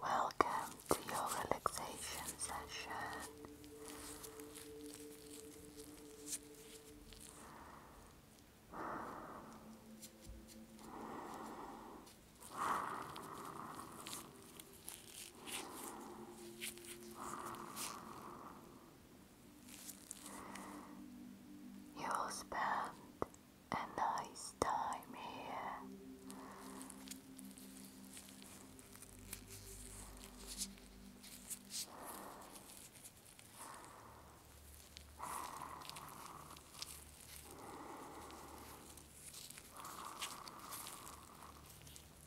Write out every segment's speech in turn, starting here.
Welcome to your relaxation session. You'll spend a nice time here. This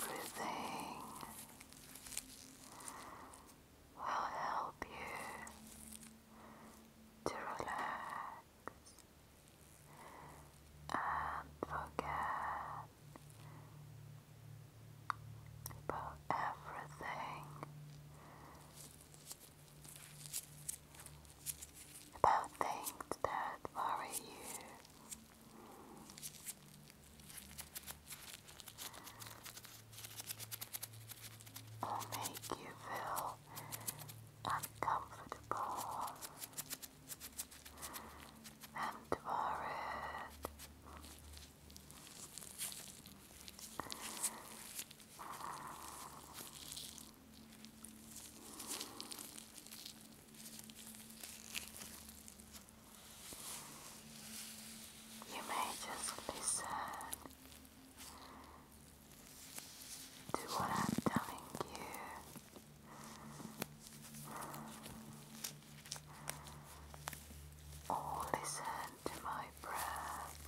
breathing will help you to relax and forget about everything, about things that worry you. Or make you feel uncomfortable and forehead. You may just listen to what I'm telling you or oh, listen to my breath.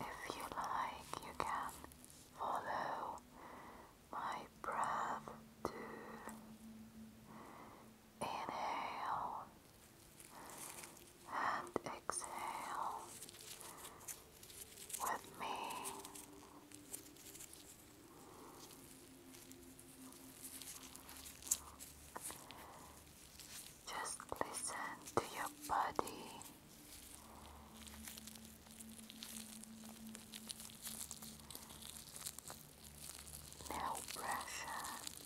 If you like, you can follow my breath too. Inhale and exhale with me. Just listen to your body. No pressure.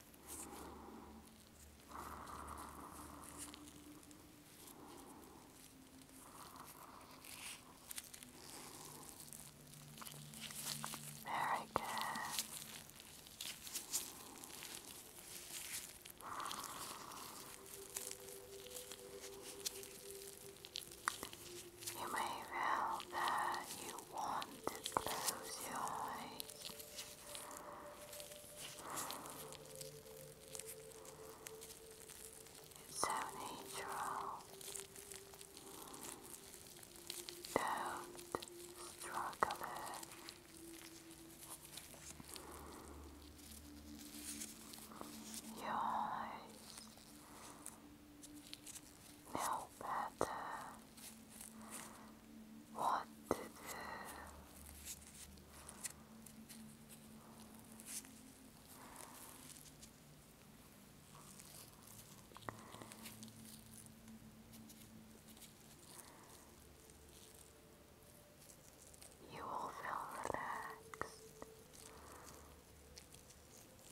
Very good. You may feel that you you want, close your eyes. It's so natural. Don't struggle Your eyes no better what to do. You will feel relaxed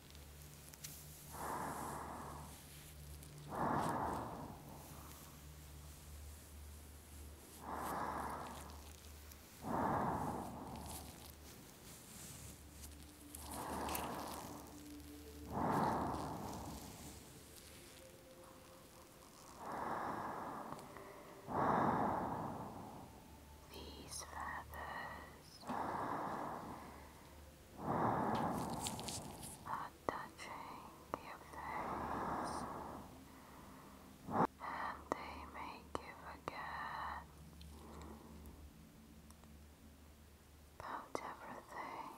These feathers and touching your face, and they make you forget about everything,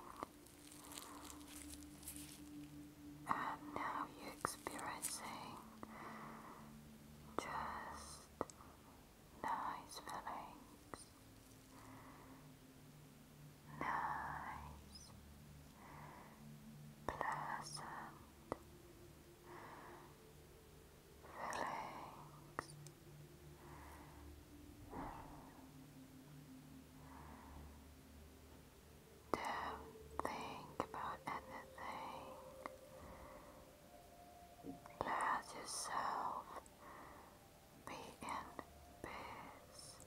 and now you're experiencing just nice feelings, nice, pleasant feelings. Don't think about anything. Let yourself be in peace.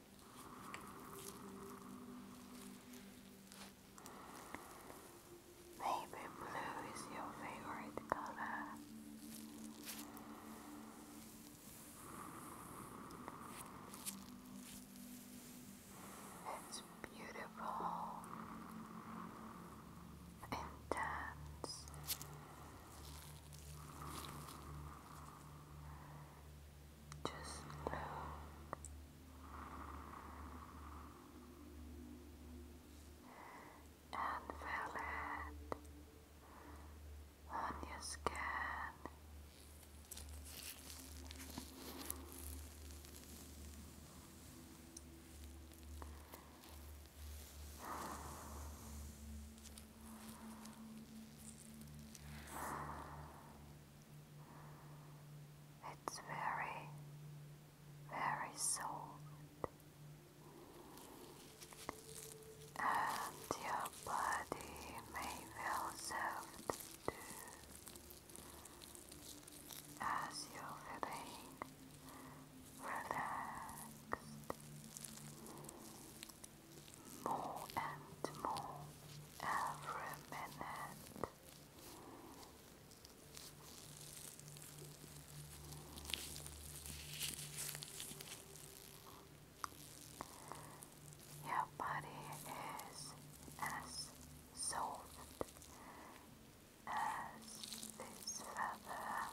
Baby blue is your favorite color. It's beautiful, intense, just look. And feel it on your skin. It's very, very soft, and your body may feel soft too as you're feeling relaxed more and more every minute. Your body is as soft as this feather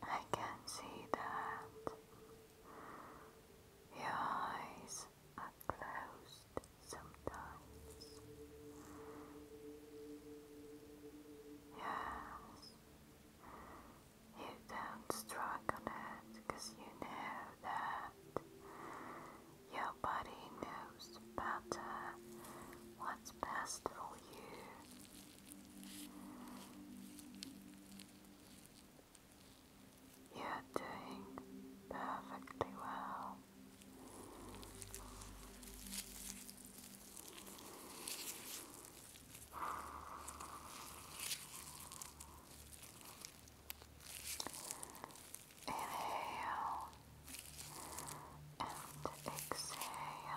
I can see that your eyes are closed sometimes. Yes, you don't strike on it because you know that your body knows better what's best for you. You're doing perfectly well. Inhale and exhale.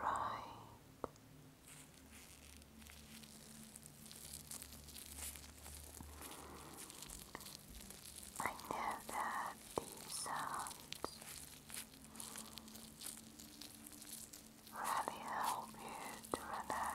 Right. I know that these sounds really help you to relax.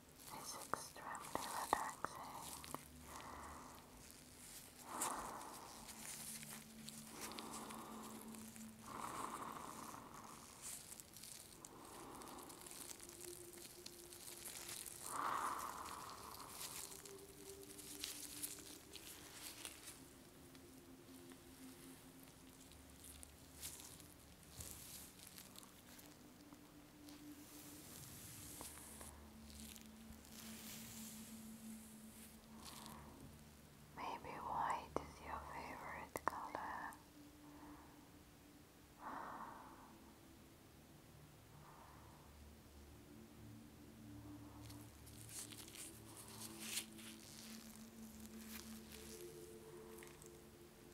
is extremely relaxing. Maybe white is your favorite color.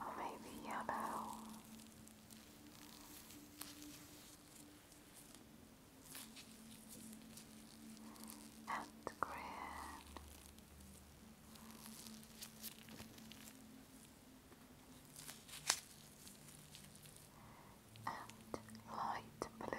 or maybe yellow. And green, and light blue,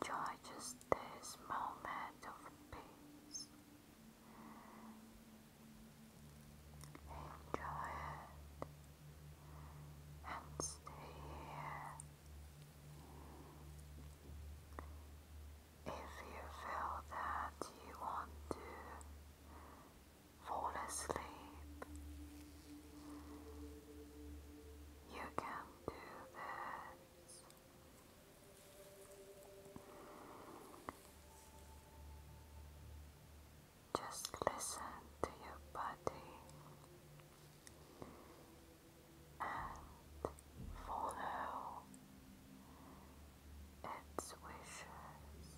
Enjoy just this moment of peace. Enjoy it and stay here. If you feel that you want to fall asleep, you can do that. Just listen to your body and follow its wishes.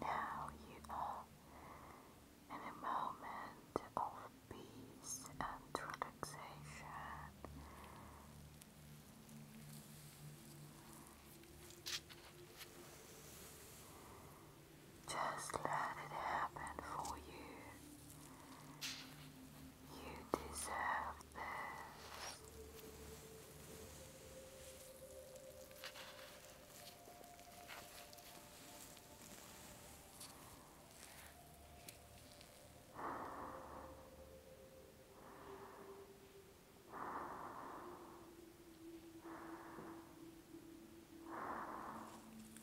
Now you are in a moment of peace and relaxation. Just let it happen for you. You deserve this.